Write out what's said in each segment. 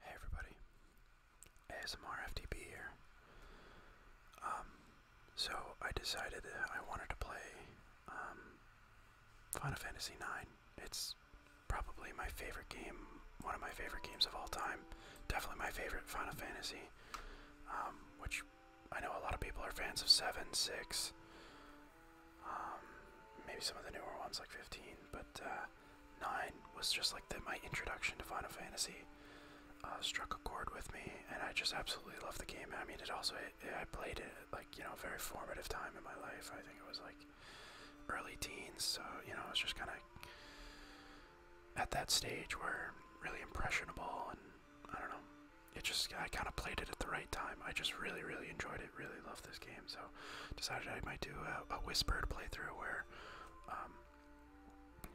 Hey everybody, ASMRFTP here. Um, so I decided I wanted to play um, Final Fantasy IX. It's probably my favorite game, one of my favorite games of all time. Definitely my favorite Final Fantasy, um, which I know a lot of people are fans of 7, 6, um, maybe some of the newer ones like 15, but uh, 9 was just like the, my introduction to Final Fantasy. Uh, struck a chord with me, and I just absolutely loved the game. I mean, it also I played it like you know a very formative time in my life. I think it was like early teens, so you know I was just kind of at that stage where really impressionable, and I don't know. It just I kind of played it at the right time. I just really really enjoyed it really, love this game, so decided I might do a, whisper playthrough where, um,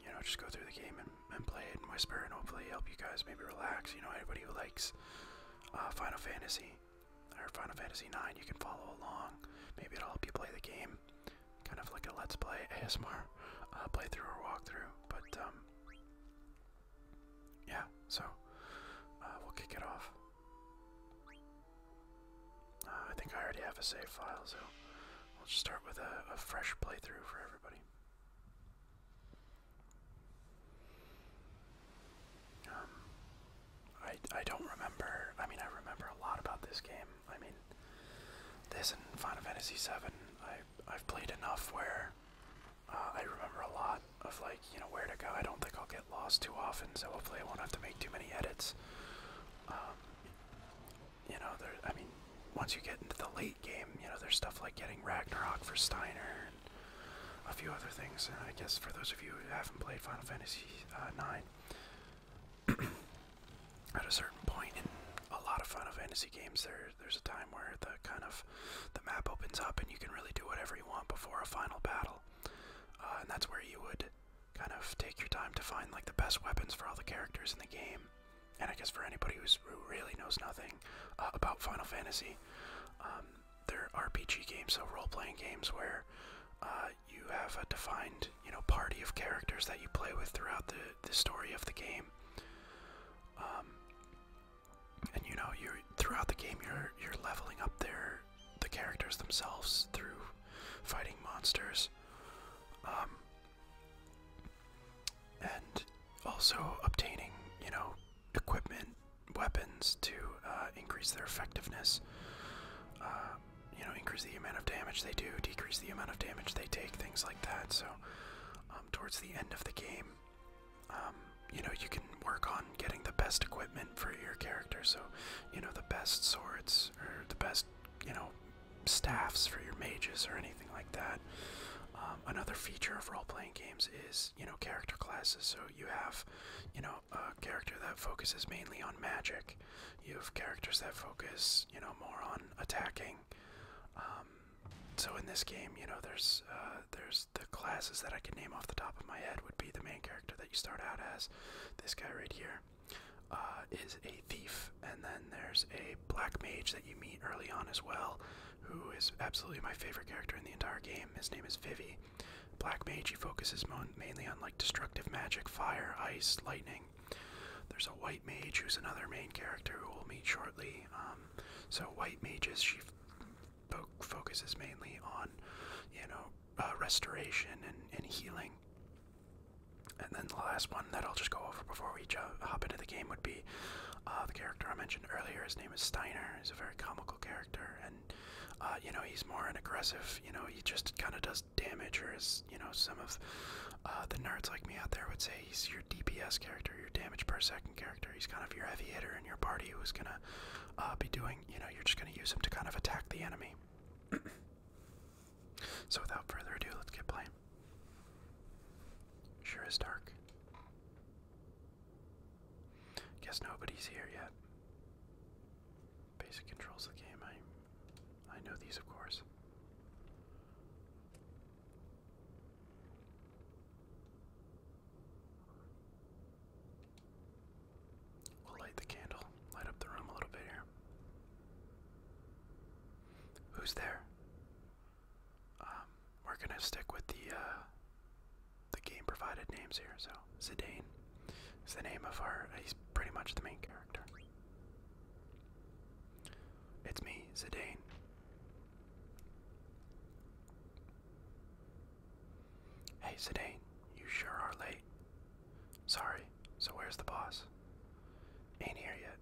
you know, just go through the game and, play it and whisper and hopefully help you guys maybe relax. You know, anybody who likes uh, Final Fantasy or Final Fantasy 9, you can follow along. Maybe it'll help you play the game. Kind of like a Let's Play ASMR uh, playthrough or walkthrough, but, um, yeah, so uh, we'll kick it off. Uh, I think I already have a save file, so we'll just start with a, fresh playthrough for everybody. Um, I, I don't remember, I mean, I remember a lot about this game. I mean, this and Final Fantasy VII, I, I've played enough where uh, I remember a lot of, like, you know, where to go. I don't think I'll get lost too often, so hopefully I won't have to make too many edits. Um, you know, there. I mean, once you get into the late game, you know, there's stuff like getting Ragnarok for Steiner and a few other things. And I guess for those of you who haven't played Final Fantasy uh, IX, at a certain point in a lot of Final Fantasy games, there there's a time where the kind of the map opens up and you can really do whatever you want before a final battle, uh, and that's where you would kind of take your time to find like the best weapons for all the characters in the game. And I guess for anybody who's, who really knows nothing uh, about Final Fantasy, um, they're RPG games, so role-playing games where uh, you have a defined, you know, party of characters that you play with throughout the, the story of the game. Um, and you know, you're throughout the game, you're you're leveling up there the characters themselves through fighting monsters. Um, and also obtaining, you know, equipment, weapons to uh, increase their effectiveness. Uh, you know, increase the amount of damage they do, decrease the amount of damage they take, things like that. So, um, towards the end of the game, um, you know, you can work on getting the best equipment for your character. So, you know, the best swords or the best, you know, staffs for your mages or anything like that. Um, another feature of role playing games is, you know, character classes. So you have, you know, a character that focuses mainly on magic. You have characters that focus, you know, more on attacking. Um, so in this game, you know, there's uh, there's the classes that I could name off the top of my head would be the main character that you start out as. This guy right here, uh, is a thief, and then there's a black mage that you meet early on as well, who is absolutely my favorite character in the entire game. His name is Vivi. Black mage, he focuses mainly on like destructive magic, fire, ice, lightning. There's a white mage who's another main character who we'll meet shortly. Um, so white mages, she focuses mainly on, you know, uh, restoration and, and healing and then the last one that I'll just go over before we hop into the game would be uh, the character I mentioned earlier. His name is Steiner. He's a very comical character, and uh, you know he's more an aggressive. You know he just kind of does damage, or as you know some of uh, the nerds like me out there would say, he's your DPS character, your damage per second character. He's kind of your heavy hitter in your party who's gonna be doing. You know you're just gonna use him to kind of attack the enemy. So without further ado, let's get playing. Sure it's dark. Guess nobody's here yet. Basic controls of the game. I I know these of course. We'll light the candle, light up the room a little bit here. Who's there? Um, we're gonna stick with the uh, the game provided names here. So Zidane is the name of our. He's pretty much the main character. It's me, Zidane. Hey Zidane, you sure are late. Sorry, so where's the boss? Ain't here yet.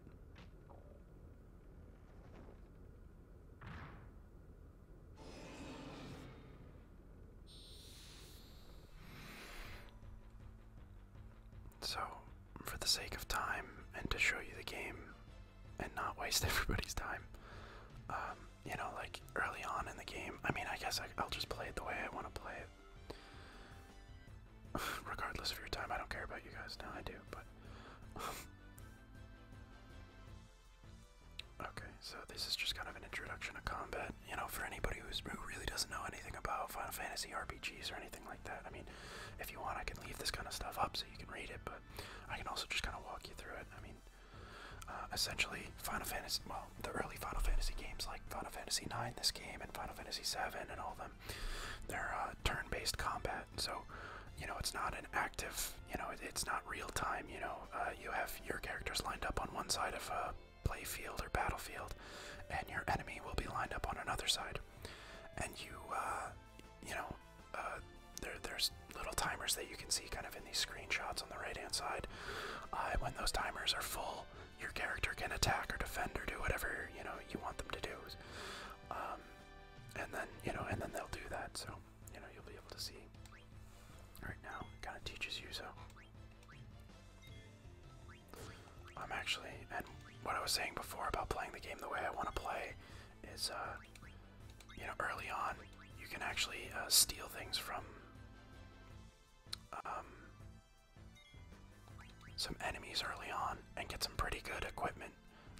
So, for the sake of time and to show you the game and not waste everybody's time, um, you know, like early on in the game, I mean, I guess I, I'll just play it the way I want to play it. Regardless of your time, I don't care about you guys. Now I do, but. okay, so this is just kind of an introduction to combat. You know, for anybody who really doesn't know anything about Final Fantasy RPGs or anything like that, I mean, if you want, I can leave this kind of stuff up so you can read it, but I can also just kind of walk you through it. I mean, uh, essentially, Final Fantasy, well, the early Final Fantasy games like Final Fantasy IX, this game, and Final Fantasy VII, and all them, they're uh, turn-based combat. So, you know, it's not an active, you know, it's not real time. You know, uh, you have your characters lined up on one side of a playfield or battlefield, and your enemy will be lined up on another side, and you, uh, you know, there, there's little timers that you can see kind of in these screenshots on the right-hand side. Uh, when those timers are full, your character can attack or defend or do whatever you know you want them to do. Um, and then you know, and then they'll do that. So you know, you'll be able to see. Right now, kind of teaches you so. I'm actually, and what I was saying before about playing the game the way I want to play is, uh, you know, early on, you can actually uh, steal things from. Um, some enemies early on and get some pretty good equipment.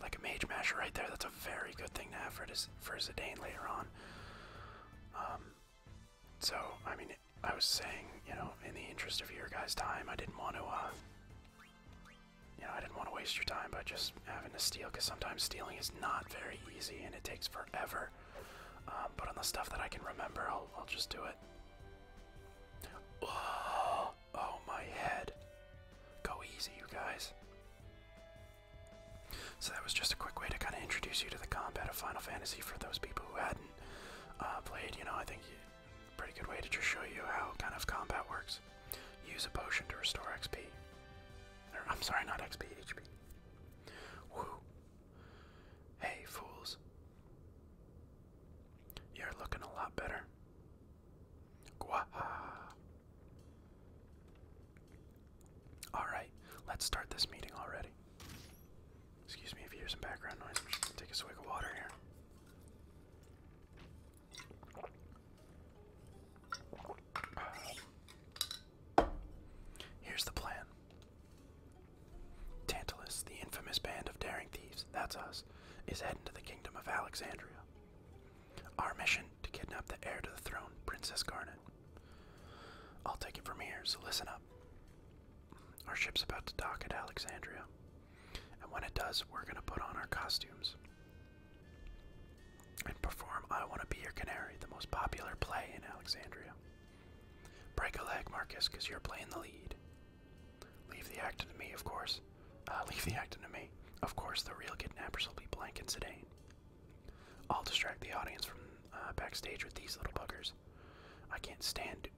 Like a mage masher right there, that's a very good thing to have for, this, for Zidane later on. Um, so, I mean, I was saying, you know, in the interest of your guys' time, I didn't want to, uh, you know, I didn't want to waste your time by just having to steal, because sometimes stealing is not very easy and it takes forever. Um, but on the stuff that I can remember, I'll just do it. Oh, oh, my head. Go easy, you guys. So that was just a quick way to kind of introduce you to the combat of Final Fantasy for those people who hadn't uh, played. You know, I think pretty good way to just show you how kind of combat works. Use a potion to restore XP. I'm sorry, not XP, HP. Woo. Hey, fools. You're looking a lot better. Gwaha. Alright, let's start this meeting already. Excuse me if you hear some background noise. take a swig of water here. Here's the plan. Tantalus, the infamous band of daring thieves, that's us, is heading to the kingdom of Alexandria. Our mission to kidnap the heir to the throne, Princess Garnet. I'll take it from here, so listen up. Our ship's about to dock at Alexandria, and when it does, we're gonna put on our costumes and perform I Wanna Be Your Canary, the most popular play in Alexandria. Break a leg, Marcus, you're playing the lead. Leave the acting to me, of course. Uh, leave the acting to me. Of course, the real kidnappers will be Blank and Sedane. I'll distract the audience from uh, backstage with these little buggers. I can't stand.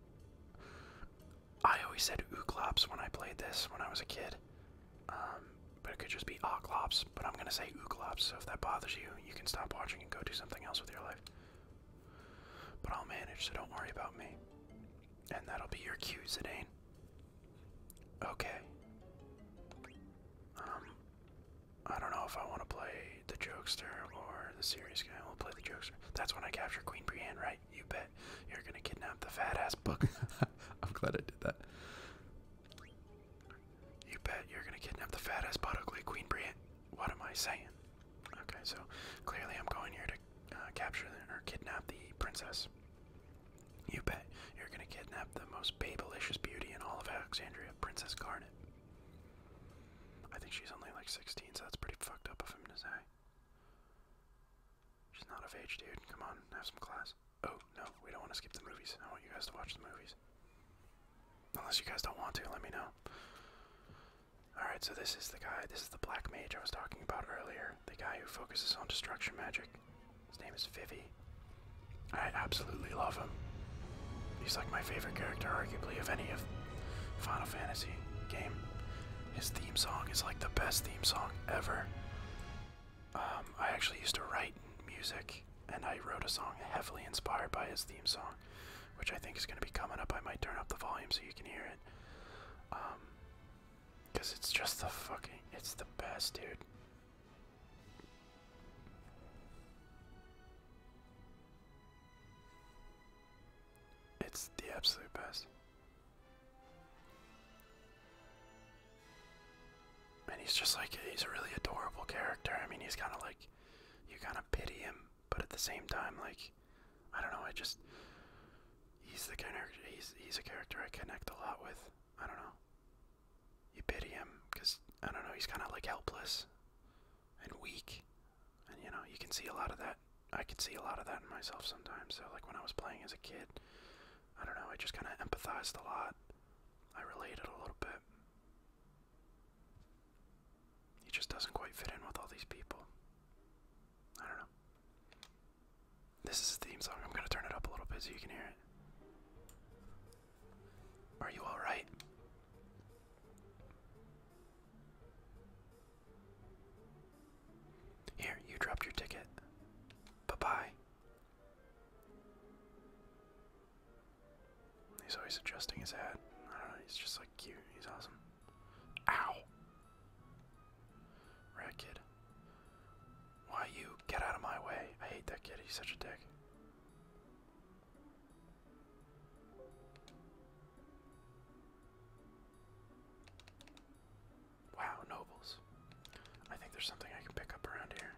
I always said Ooklops when I played this when I was a kid. Um, but it could just be Oklops, but I'm gonna say Ooklops, so if that bothers you, you can stop watching and go do something else with your life. But I'll manage, so don't worry about me. And that'll be your cue, Zidane. Okay. Um, I don't know if I want to play the Jokester or the serious guy. We'll play the Jokester. That's when I capture Queen Brienne, right? You bet. You're gonna kidnap the fat ass book. I'm glad I did that. You bet you're gonna kidnap the fat ass buttockly Queen Brienne. What am I saying? Okay, so clearly I'm going here to uh, capture or kidnap the princess. You bet you're going to kidnap the most babylicious beauty in all of Alexandria, Princess Garnet. I think she's only like 16, so that's pretty fucked up of him to say. She's not of age, dude. Come on, have some class. Oh, no, we don't want to skip the movies. I want you guys to watch the movies. Unless you guys don't want to, let me know. Alright, so this is the guy, this is the black mage I was talking about earlier. The guy who focuses on destruction magic. His name is Vivi. I absolutely love him. He's like my favorite character, arguably, of any of Final Fantasy game. His theme song is like the best theme song ever. Um, I actually used to write music, and I wrote a song heavily inspired by his theme song which I think is going to be coming up. I might turn up the volume so you can hear it. Um, because it's just the fucking, it's the best, dude. It's the absolute best. And he's just like, he's a really adorable character. I mean, he's kind of like, you kind of pity him but at the same time, like, I don't know, I just he's the kind of he's he's a character I connect a lot with. I don't know. You pity him because I don't know, he's kind of like helpless and weak, and you know, you can see a lot of that. I can see a lot of that in myself sometimes. So, like when I was playing as a kid, I don't know, I just kind of empathized a lot. I related a little bit. He just doesn't quite fit in with all these people. I don't know. This is a theme song. I'm going to turn it up a little bit so you can hear it. Are you alright? Here, you dropped your ticket. Bye bye. He's always adjusting his hat. I don't know, he's just so He's awesome. Ow! Rat Why you? Get out of my way. I hate that kid. He's such a dick. Wow, nobles. I think there's something I can pick up around here.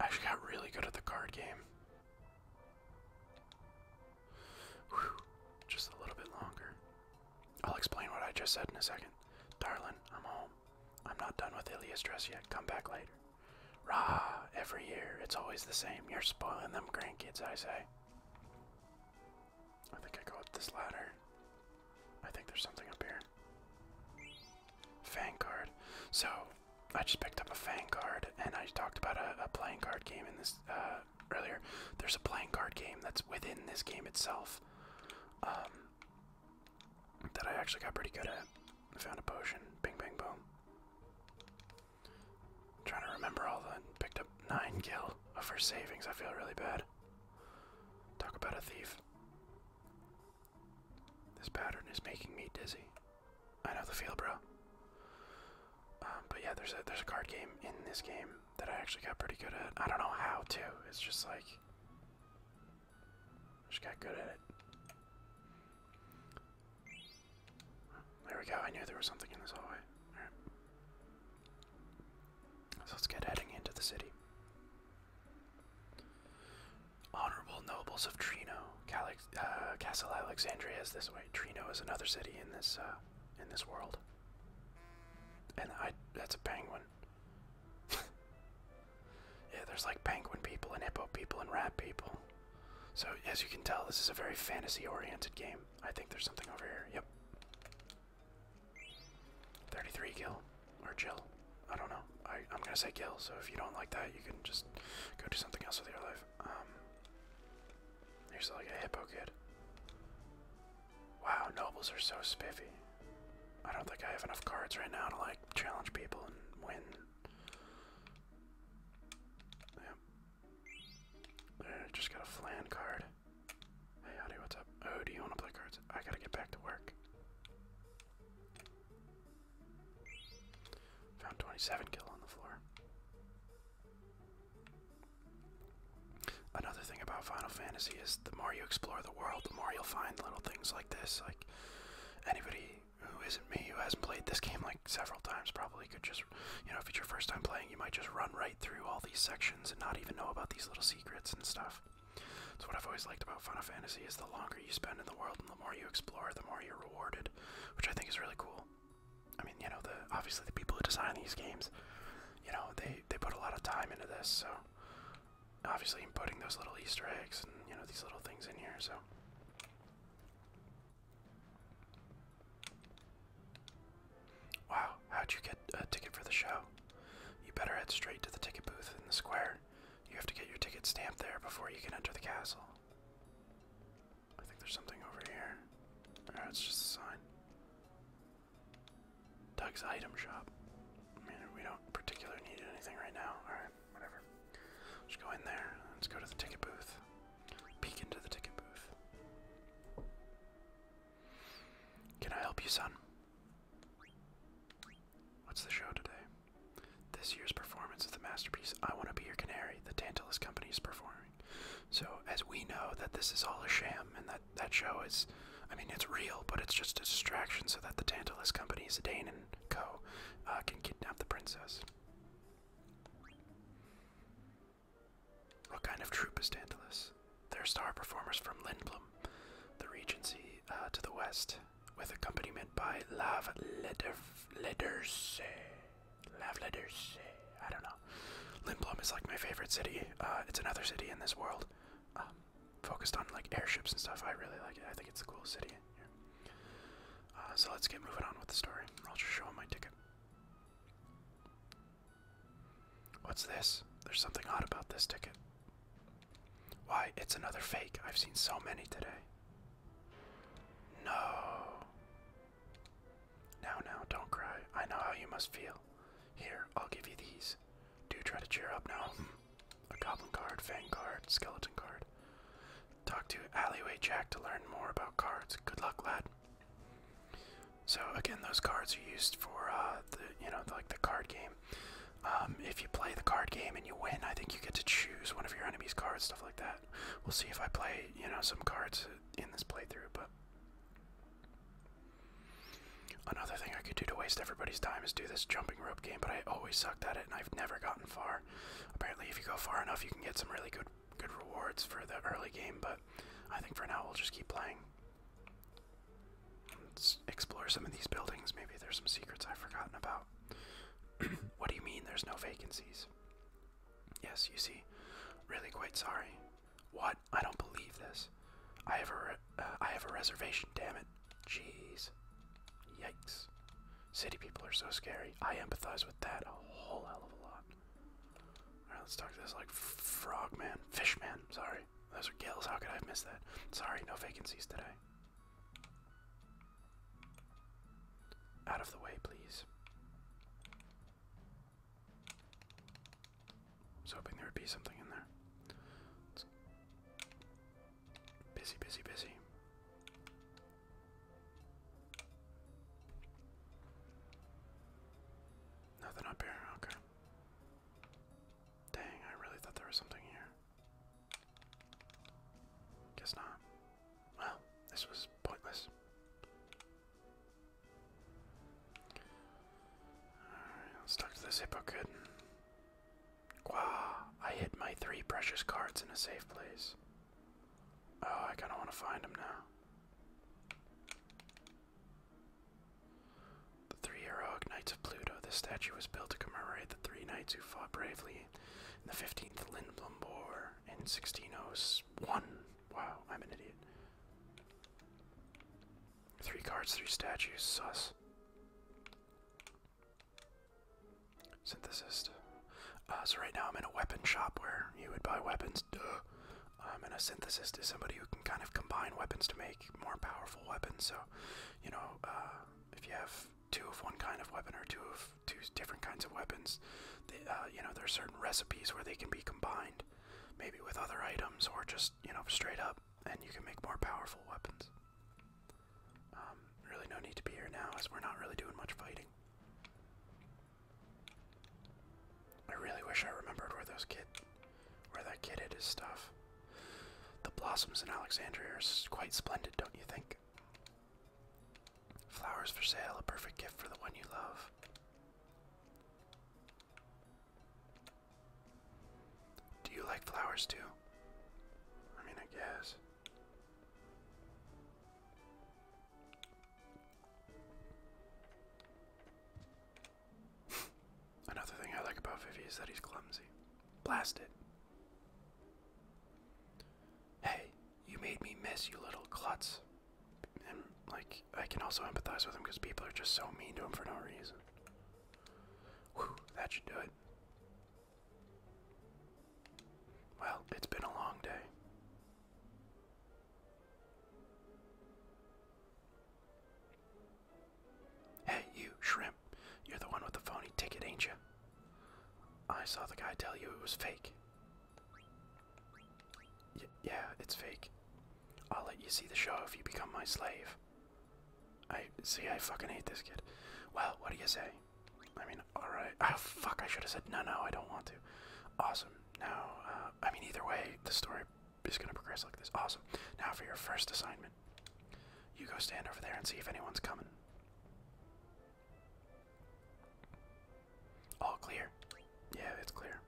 I actually got really good at the card game. just a little bit longer. I'll explain what I just said in a second. darling. I'm home. I'm not done with Ilya's dress yet. Come back later. Rah, every year, it's always the same. You're spoiling them grandkids, I say. I think I go up this ladder. I think there's something up here. Fang card. So I just picked up a Fang card, and I talked about a, playing card game in this uh, earlier. There's a playing card game that's within this game itself um, that I actually got pretty good at. I found a potion. Bing, bang, boom. I'm trying to remember all the picked up nine gil of her savings. I feel really bad. Talk about a thief. This pattern is making me dizzy. I know the feel, bro. Um, but yeah, there's a there's a card game in this game that I actually got pretty good at. I don't know how to. It's just like I just got good at it. There we go. I knew there was something in this hallway. All right. So let's get heading into the city. Honorable nobles of Trino, uh, Castle Alexandria is this way. Trino is another city in this uh, in this world, and I—that's a penguin. yeah, there's like penguin people and hippo people and rat people. So as you can tell, this is a very fantasy-oriented game. I think there's something over here. Yep. Thirty-three kill or chill. I don't know. I, I'm gonna say kill. So if you don't like that, you can just go do something else with your life. Um, you're like a hippo kid. Wow, nobles are so spiffy. I don't think I have enough cards right now to like challenge people and win. Yep. Uh, just got a flan card. Hey, howdy, what's up? Oh, do you want to play cards? I gotta get back to work. Found 27 kill on the floor. Another thing about Final Fantasy is the more you explore the world, the more you'll find little things like this. Like anybody who isn't me who hasn't played this game like several times probably could just, you know, if it's your first time playing, you might just run right through all these sections and not even know about these little secrets and stuff. So what I've always liked about Final Fantasy is the longer you spend in the world and the more you explore, the more you're rewarded, which I think is really cool. I mean, you know, the obviously the people who design these games, you know, they they put a lot of time into this, so obviously I'm putting those little Easter eggs and you know these little things in here, so. Wow, how'd you get a ticket for the show? You better head straight to the ticket booth in the square you have to get your ticket stamped there before you can enter the castle. I think there's something over here. Or it's just a sign. Doug's item shop. I mean, we don't particularly need anything right now. Alright, whatever. Let's go in there. Let's go to the ticket booth. Peek into the ticket booth. Can I help you, son? What's the show today? This year's performance of the masterpiece I Want to Be Your Canary, the Tantalus Company is performing. So, as we know that this is all a sham and that that show is, I mean, it's real, but it's just a distraction so that the Tantalus Company, Zidane and Co., uh, can kidnap the princess. What kind of troupe is Tantalus? They're star performers from Lindblom, the Regency uh, to the west, with accompaniment by Love Letters. Love Letters. I don't know. Lindblom is like my favorite city. Uh, it's another city in this world. Um, focused on like airships and stuff. I really like it. I think it's the coolest city here. Uh, so let's get moving on with the story. I'll just show him my ticket. What's this? There's something odd about this ticket. Why, it's another fake. I've seen so many today. No. Now, now, don't cry. I know how you must feel. Here, I'll give you these. Do try to cheer up now. A goblin card, fang skeleton card. Talk to Alleyway Jack to learn more about cards. Good luck, lad. So again, those cards are used for uh, the you know like the card game. Um, if you play the card game and you win, I think you get to choose one of your enemy's cards, stuff like that. We'll see if I play, you know, some cards in this playthrough, but. Another thing I could do to waste everybody's time is do this jumping rope game, but I always sucked at it and I've never gotten far. Apparently, if you go far enough, you can get some really good good rewards for the early game, but I think for now we'll just keep playing. Let's explore some of these buildings. Maybe there's some secrets I've forgotten about. what do you mean there's no vacancies? Yes, you see. Really quite sorry. What? I don't believe this. I have a, uh, have a reservation, damn it. Jeez. Yikes. City people are so scary. I empathize with that a whole hell of a lot. Alright, let's talk to this like frog man, fish man. sorry. Those are gills, how could I have missed that? Sorry, no vacancies today. Out of the way, please. was hoping there would be something in there. busy, busy, busy. Nothing up here, okay. Dang, I really thought there was something here. Guess not. Well, this was pointless. Alright, let's talk to this hippo kid. Wow, I hid my three precious cards in a safe place. Oh, I kind of want to find them now. The three heroic knights of Pluto. The statue was built to commemorate the three knights who fought bravely in the 15th, Lindblombour. In 1601. Wow, I'm an idiot. Three cards, three statues, sus. Synthesist. Uh, so right now I'm in a weapon shop where you would buy weapons, I'm in a synthesist is somebody who can kind of combine weapons to make more powerful weapons. So, you know, uh, if you have two of one kind of weapon or two of two different kinds of weapons. Uh, you know, there are certain recipes where they can be combined, maybe with other items or just you know straight up, and you can make more powerful weapons. Um, really, no need to be here now, as we're not really doing much fighting. I really wish I remembered where those kid, where that kid hid his stuff. The blossoms in Alexandria are quite splendid, don't you think? Flowers for sale, a perfect gift for the one you love. Do you like flowers too? I mean, I guess. Another thing I like about Vivi is that he's clumsy. Blast it. Hey, you made me miss, you little klutz. And, like, I can also empathize with him because people are just so mean to him for no reason. Whew, that should do it. Well, it's been a long day. Hey, you shrimp. You're the one with the phony ticket, ain't you? I saw the guy tell you it was fake. yeah, it's fake. I'll let you see the show if you become my slave. I see, I fucking hate this kid. Well, what do you say? I mean, alright. Oh, fuck, I should have said no, no, I don't want to. Awesome. Now, uh, I mean, either way, the story is going to progress like this. Awesome. Now for your first assignment. You go stand over there and see if anyone's coming. All clear. Yeah, it's clear.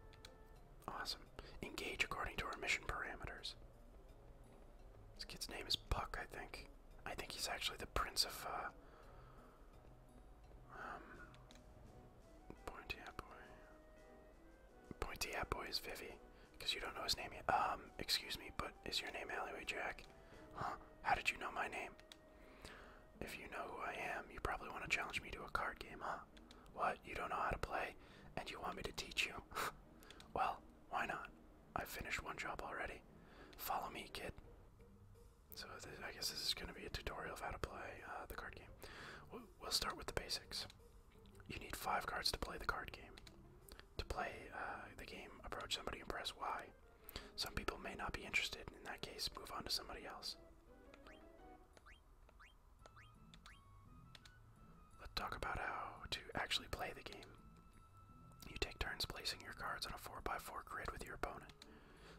Awesome. Engage according to our mission parameters. This kid's name is Buck, I think. I think he's actually the prince of, uh. Um. Pointy Boy. Pointy Boy is Vivi, because you don't know his name yet. Um, excuse me, but is your name Alleyway Jack? Huh? How did you know my name? If you know who I am, you probably want to challenge me to a card game, huh? What? You don't know how to play, and you want me to teach you? well, why not? I've finished one job already. Follow me, kid. So I guess this is going to be a tutorial of how to play uh, the card game. We'll, start with the basics. You need five cards to play the card game. To play uh, the game, approach somebody and press Y. Some people may not be interested. In that case, move on to somebody else. Let's talk about how to actually play the game. You take turns placing your cards on a 4x4 grid with your opponent.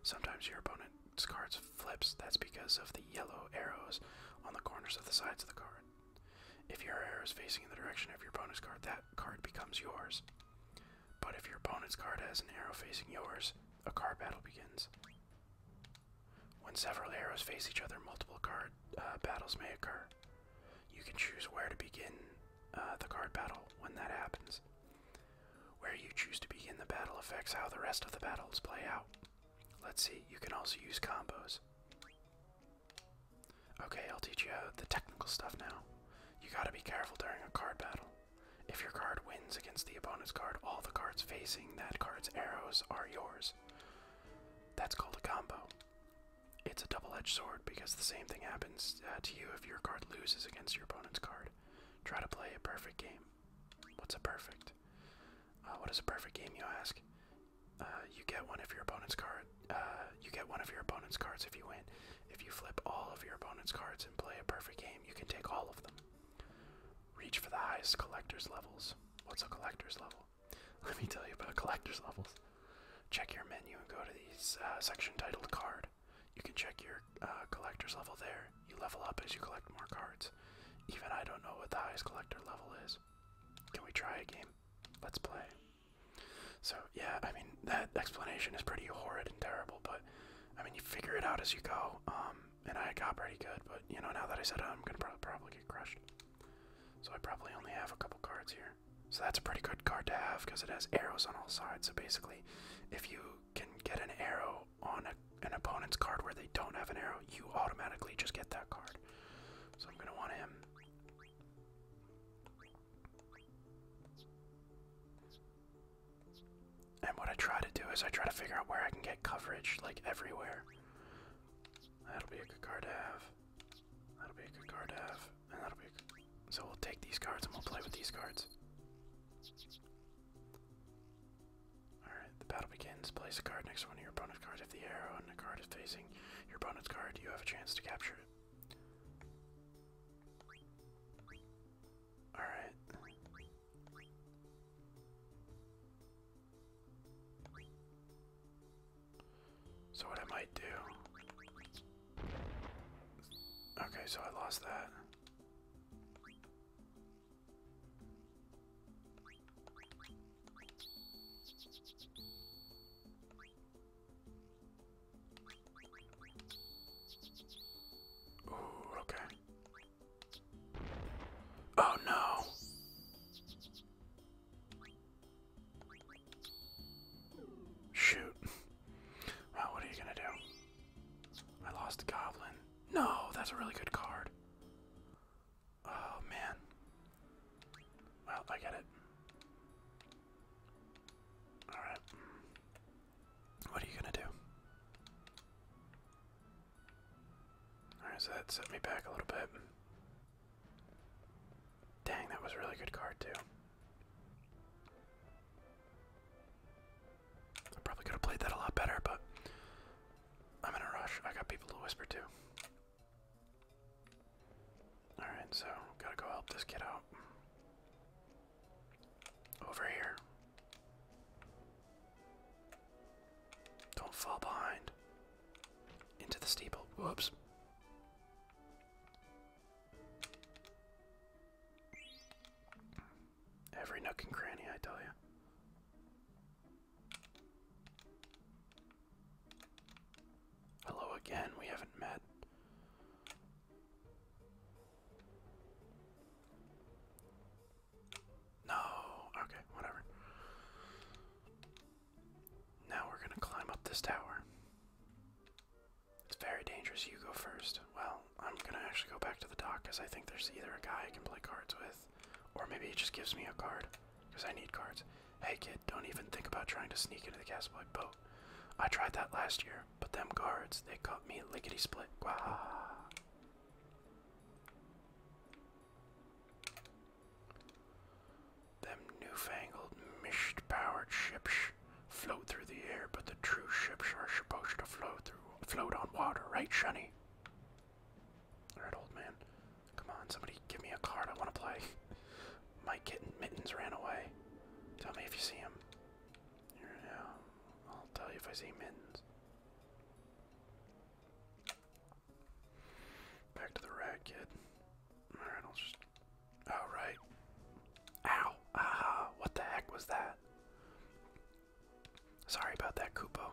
Sometimes your opponent's cards flips. That's because of the yellow arrows on the corners of the sides of the card. If your arrow is facing in the direction of your opponent's card, that card becomes yours. But if your opponent's card has an arrow facing yours, a card battle begins. When several arrows face each other, multiple card uh, battles may occur. You can choose where to begin uh, the card battle when that happens. Where you choose to begin the battle affects how the rest of the battles play out. Let's see, you can also use combos. Okay, I'll teach you the technical stuff now. You gotta be careful during a card battle. If your card wins against the opponent's card, all the cards facing that card's arrows are yours. That's called a combo. It's a double edged sword because the same thing happens uh, to you if your card loses against your opponent's card. Try to play a perfect game. What's a perfect? Uh, what is a perfect game, you ask? Uh, you get one if your opponent's card you get one of your opponent's cards if you win. If you flip all of your opponent's cards and play a perfect game, you can take all of them. Reach for the highest collector's levels. What's a collector's level? Let me tell you about collector's levels. Check your menu and go to the uh, section titled Card. You can check your uh, collector's level there. You level up as you collect more cards. Even I don't know what the highest collector level is. Can we try a game? Let's play. So yeah, I mean that explanation is pretty horrid and terrible, but I mean you figure it out as you go. Um, and I got pretty good, but you know now that I said I'm gonna probably get crushed. So I probably only have a couple cards here. So that's a pretty good card to have because it has arrows on all sides. So basically, if you can get an arrow on an opponent's card where they don't have an arrow, you automatically just get that card. So I'm gonna want him. And what I try to do is I try to figure out where I can get coverage, like everywhere. That'll be a good card to have. That'll be a good card to have. And that'll be good... So we'll take these cards and we'll play with these cards. Alright, the battle begins. Place a card next to one of your opponent's cards. If the arrow and the card is facing your opponent's card, you have a chance to capture it. All right. So what I might do. Okay, so I lost that. Ooh, okay. Oh no. Shoot. Well, what are you gonna do? I lost the goblin. No, that's a really good card. Oh man. Well, I get it. Alright. What are you gonna do? Alright, so that set me back a little bit. Dang, that was a really good card, too. I probably could have played that a lot better, but I'm in a rush. I got people to whisper to. Alright, so gotta go help this kid out. Over here. Don't fall behind. Into the steeple. Whoops. Every nook and cranny, I tell you. Hello again, we haven't met. No, okay, whatever. Now we're gonna climb up this tower. It's very dangerous. You go first. Well, I'm gonna actually go back to the dock because I think there's either a guy I can play cards with, or maybe he just gives me a card because I need cards. Hey, kid, don't even think about trying to sneak into the castle. Like, Bo, I tried that last year, but them guards, they caught me lickety split. Wow. Them newfangled, mist powered ships float through the air, but the true ships are supposed to float through float on water, right, Shunny? Alright, old man. Come on, somebody give me a card. I wanna play. My kitten mittens ran away. Tell me if you see him. Here now. I'll tell you if I see mittens. Back to the rat Alright, I'll just Oh Ow! Aha! What the heck was that? Sorry about that, Koopo.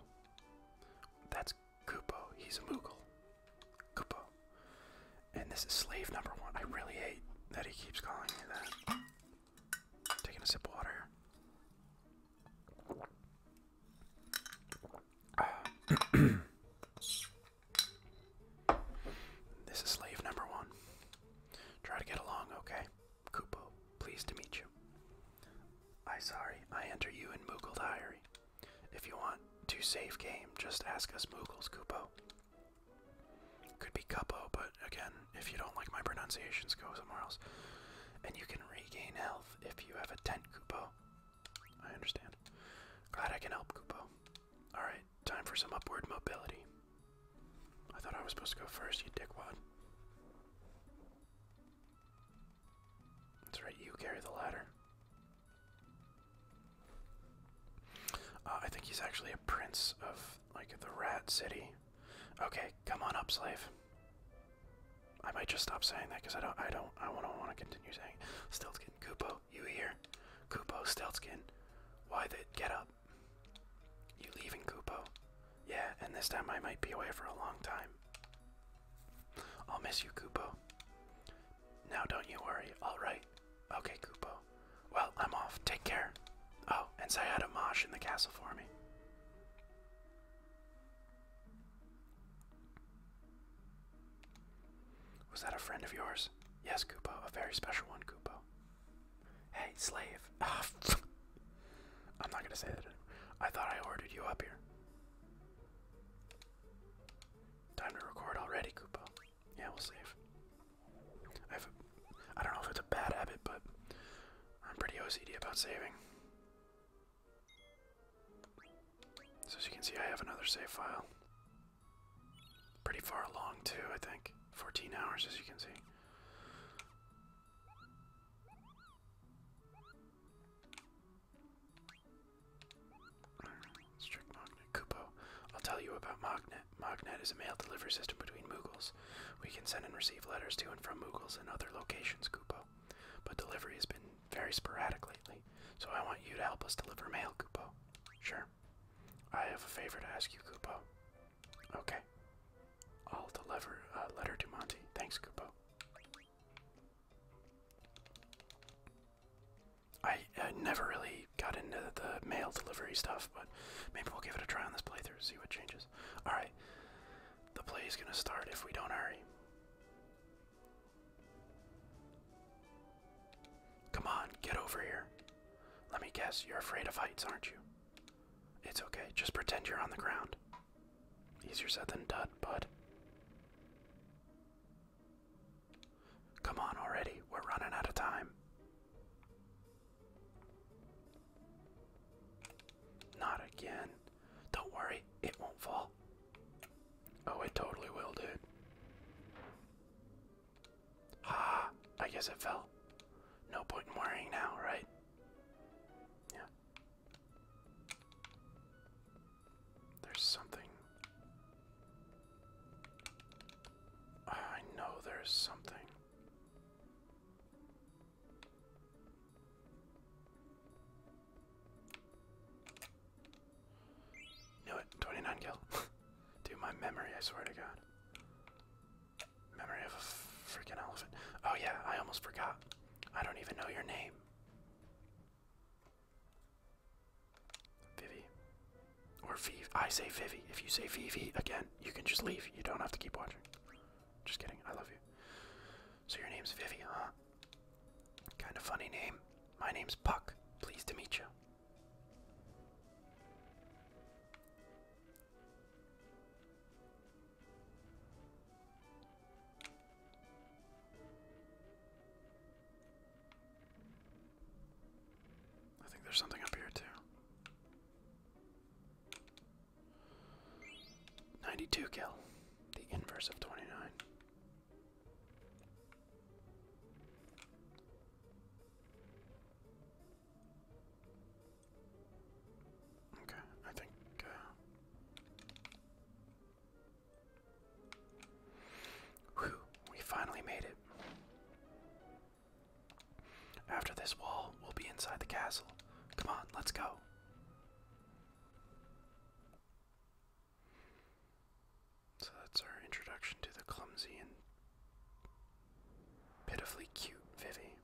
That's Koopo. He's a Moogle. Koopo. And this is slave number one. I really hate that he keeps calling me that. Taking a sip of water. this is slave number one. Try to get along, okay? Kupo, pleased to meet you. I sorry, I enter you in Moogle Diary. If you want to save game, just ask us Moogles, Kupo. Could be Cuppo, but again, if you don't like my pronunciations, go somewhere else. And you can regain health if you have a tent, Koopo. I understand. Glad I can help, Koopo. Alright, time for some upward mobility. I thought I was supposed to go first, you dickwad. That's right, you carry the ladder. Uh, I think he's actually a prince of like the Rat City. Okay, come on up, slave. I might just stop saying that because I don't, I don't, I don't want to continue saying. Steltskin, Koopo, you here? Koopo, Steltskin, why the get up? You leaving, Koopo? Yeah, and this time I might be away for a long time. I'll miss you, Koopo. Now don't you worry. All right. Okay, Koopo well, I'm off. Take care. Oh, and Sayada Mosh in the castle for me. Was that a friend of yours? Yes, Kupo. A very special one, Kupo. Hey, slave. I'm not gonna say that I thought I ordered you up here. Time to record already, Kupo. Yeah, we'll save. I have a, I don't know if it's a bad habit, but I'm pretty OCD about saving. So as you can see, I have another save file. Pretty far along too, I think. 14 hours, as you can see. Strict Magnet. Kupo. I'll tell you about Magnet Magnet is a mail delivery system between Mughals. We can send and receive letters to and from Mughals and other locations, Kupo. But delivery has been very sporadic lately, so I want you to help us deliver mail, Kupo. Sure. I have a favor to ask you, Kupo. Okay. I'll deliver a letter to Monty. Thanks, Kupo. I never really got into the mail delivery stuff, but maybe we'll give it a try on this playthrough see what changes. Alright, the play is going to start if we don't hurry. Come on, get over here. Let me guess, you're afraid of heights, aren't you? It's okay, just pretend you're on the ground. Easier said than done, bud. Come on already, we're running out of time. Not again. Don't worry, it won't fall. Oh, it totally will, dude. Ah, I guess it fell. No point in worrying now, right? Yeah. There's something. I know there's something. Knew it. 29 kill. Dude, my memory, I swear to God. Memory of a freaking elephant. Oh, yeah, I almost forgot. I don't even know your name. Vivi. Or Vivi. I say Vivi. If you say Vivi again, you can just leave. You don't have to keep watching. Just kidding. I love you. So your name's Vivi, huh? Kind of funny name. My name's Puck. Pleased to meet you. I think there's something up here too. 92 kill, the inverse of 29. Okay, I think. Uh, Whew, we finally made it. After this wall, we'll be inside the castle. Come on, let's go. So that's our introduction to the clumsy and pitifully cute Vivi.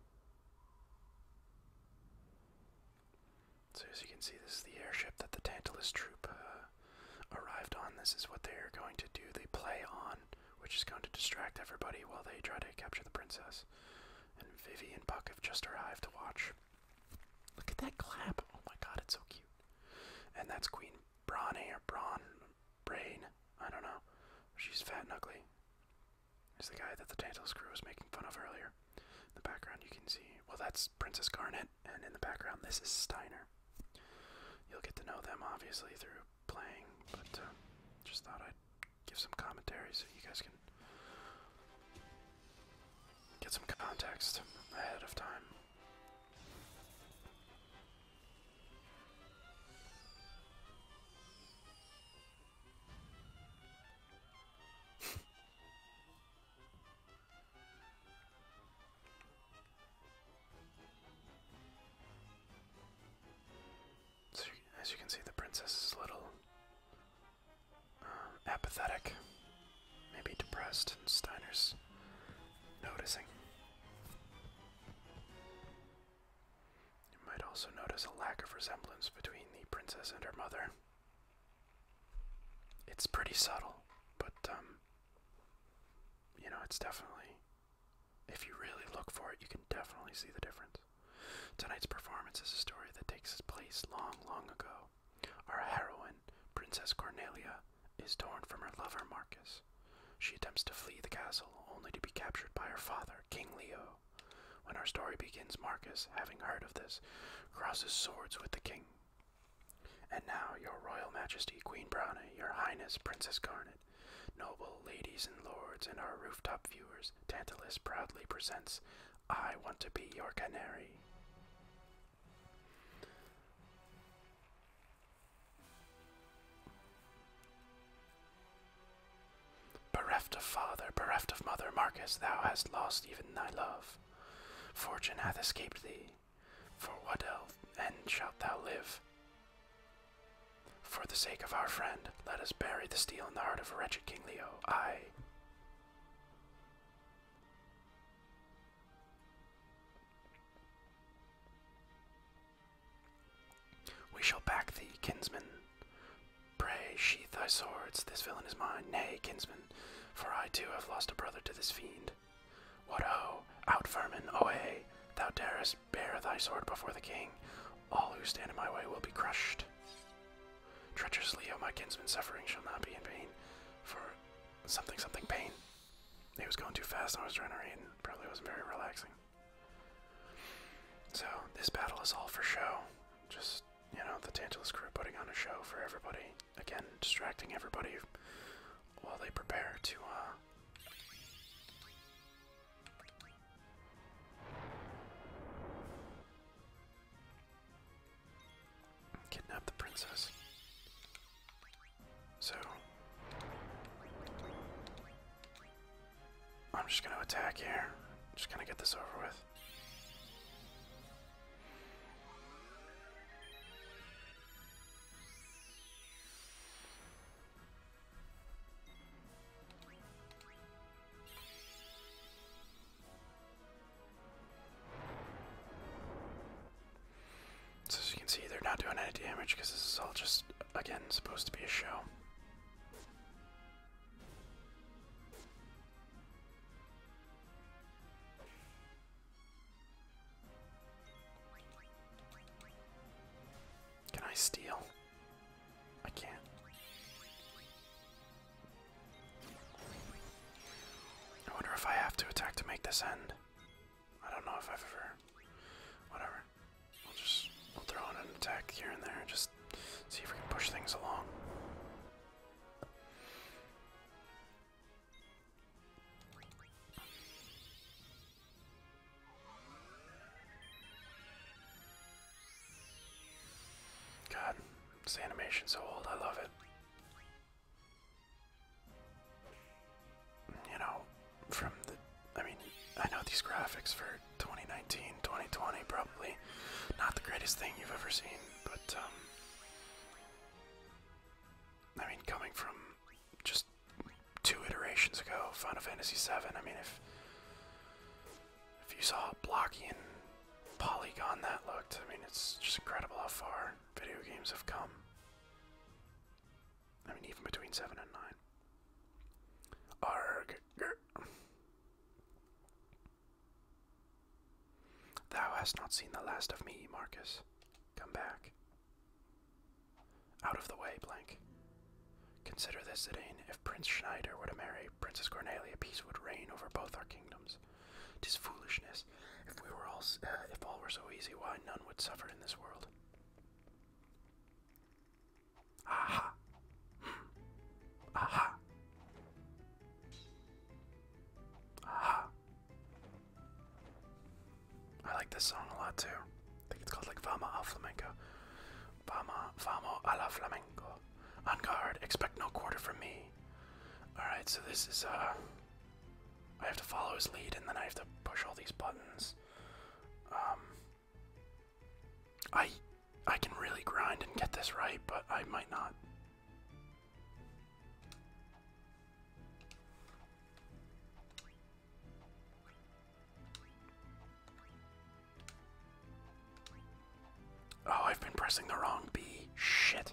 So as you can see, this is the airship that the Tantalus troop uh, arrived on. This is what they are going to do. They play on which is going to distract everybody while they try to capture the princess. And Vivi and Buck have just arrived to watch. Look at that clap! Oh my god, it's so cute. And that's Queen Brawny or Brawn Brain. I don't know. She's fat and ugly. Is the guy that the Tantalus crew was making fun of earlier. In the background you can see well that's Princess Garnet, and in the background this is Steiner. You'll get to know them obviously through playing, but uh, just thought I'd give some commentary so you guys can get some context ahead of time as you can see, the princess is little uh, apathetic, maybe depressed, and Steiner's noticing. You might also notice a lack of resemblance between the princess and her mother. It's pretty subtle, but um, you know, it's definitely if you really look for it, you can definitely see the difference. Tonight's performance is a story that takes place long, long ago. Our heroine, Princess Cornelia, is torn from her lover Marcus. She attempts to flee the castle, only to be captured by her father, King Leo. When our story begins, Marcus, having heard of this, crosses swords with the king. And now, Your Royal Majesty, Queen Bruna, Your Highness, Princess Garnet, Noble ladies and lords and our rooftop viewers, Tantalus proudly presents I Want to Be Your Canary. Bereft of father, bereft of mother, Marcus, thou hast lost even thy love. Fortune hath escaped thee. For what else end shalt thou live? For the sake of our friend, let us bury the steel in the heart of wretched King Leo. I. We shall back thee, kinsman. Pray, sheathe thy swords, this villain is mine. Nay, kinsman, for I too have lost a brother to this fiend. What ho! Out, vermin, away! Thou darest Bear thy sword before the king. All who stand in my way will be crushed. Treacherously, O my kinsman, suffering shall not be in vain. For something, something pain. It was going too fast, I was trying to read, and probably wasn't very relaxing. So, this battle is all for show. Just, you know, the Tantalus crew putting on a show for everybody. Again, distracting everybody while they prepare to, uh, Kidnap the princess. So I'm just gonna attack here. Just gonna get this over with. So as you can see, they're not doing any damage because this is all just, again, supposed to be a show. Can I steal? I can't. I wonder if I have to attack to make this end. I don't know if I've ever. Whatever. We'll just we'll throw in an attack here and there, just see if we can push things along. God, this animation's so old, I love it. You know, from the. I mean, I know these graphics for 2019, 2020, probably not the greatest thing you've ever seen, but, um. I mean, coming from just two iterations ago, Final Fantasy VII, I mean, if. If you saw blocky and polygon that looked, I mean, it's just incredible how far video games have come. I mean, even between 7 and 9. Arg. Thou hast not seen the last of me, Marcus. Come back. Out of the way, blank. Consider this, Zidane. If Prince Schneider were to marry Princess Cornelia, peace would reign over both our kingdoms. Tis foolishness. If we were all, uh, if all were so easy, why none would suffer in this world? Aha! Hmm. Aha! Aha! I like this song a lot too. I think it's called like Vama al Flamenco. Vama, Vamo a Flamenco. On guard, expect no quarter from me. Alright, so this is, uh. I have to follow his lead and then I have to push all these buttons. Um. I. I can really grind and get this right, but I might not. Oh, I've been pressing the wrong B. Shit.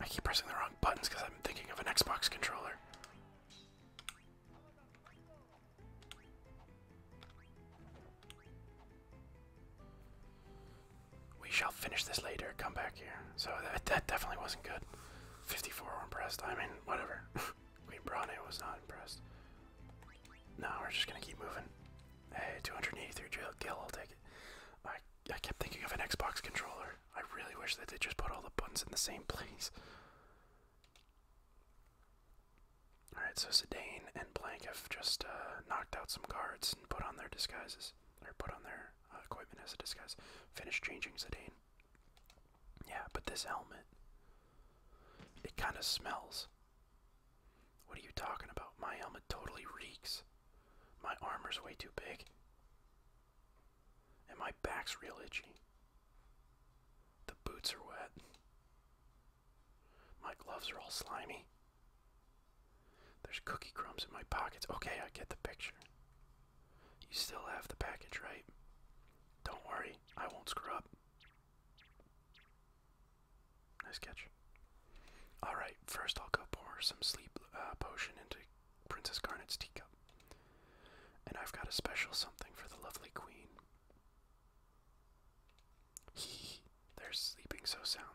I keep pressing the wrong buttons because I'm thinking of an Xbox controller. We shall finish this later. Come back here. So that, definitely wasn't good. 54 were impressed. I mean, whatever. Queen Brane was not impressed. No, we're just gonna keep moving. Hey, 283 kill, I'll take it. I I kept thinking of an Xbox controller. I really wish that they just put all the buttons in the same place. Alright, so Sedaine and Blank have just uh, knocked out some guards and put on their disguises. Or put on their uh, equipment as a disguise. Finish changing Sedaine. Yeah, but this helmet, it kind of smells. What are you talking about? My helmet totally reeks. My armor's way too big. And my back's real itchy. The boots are wet. My gloves are all slimy. There's cookie crumbs in my pockets. Okay, I get the picture. You still have the package, right? Don't worry, I won't screw up. Nice catch. Alright, first I'll go pour some sleep uh, potion into Princess Garnet's teacup. And I've got a special something for the lovely queen. they're sleeping so soundly.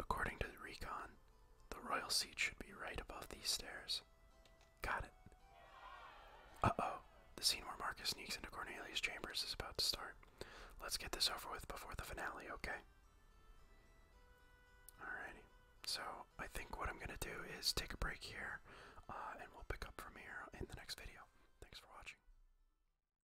According to the recon, the royal seat should be right above these stairs. Got it. Uh oh, the scene where Marcus sneaks into Cornelius' chambers is about to start. Let's get this over with before the finale, okay? Alrighty. So I think what I'm gonna do is take a break here, uh, and we'll pick up from here in the next video. Thanks for watching.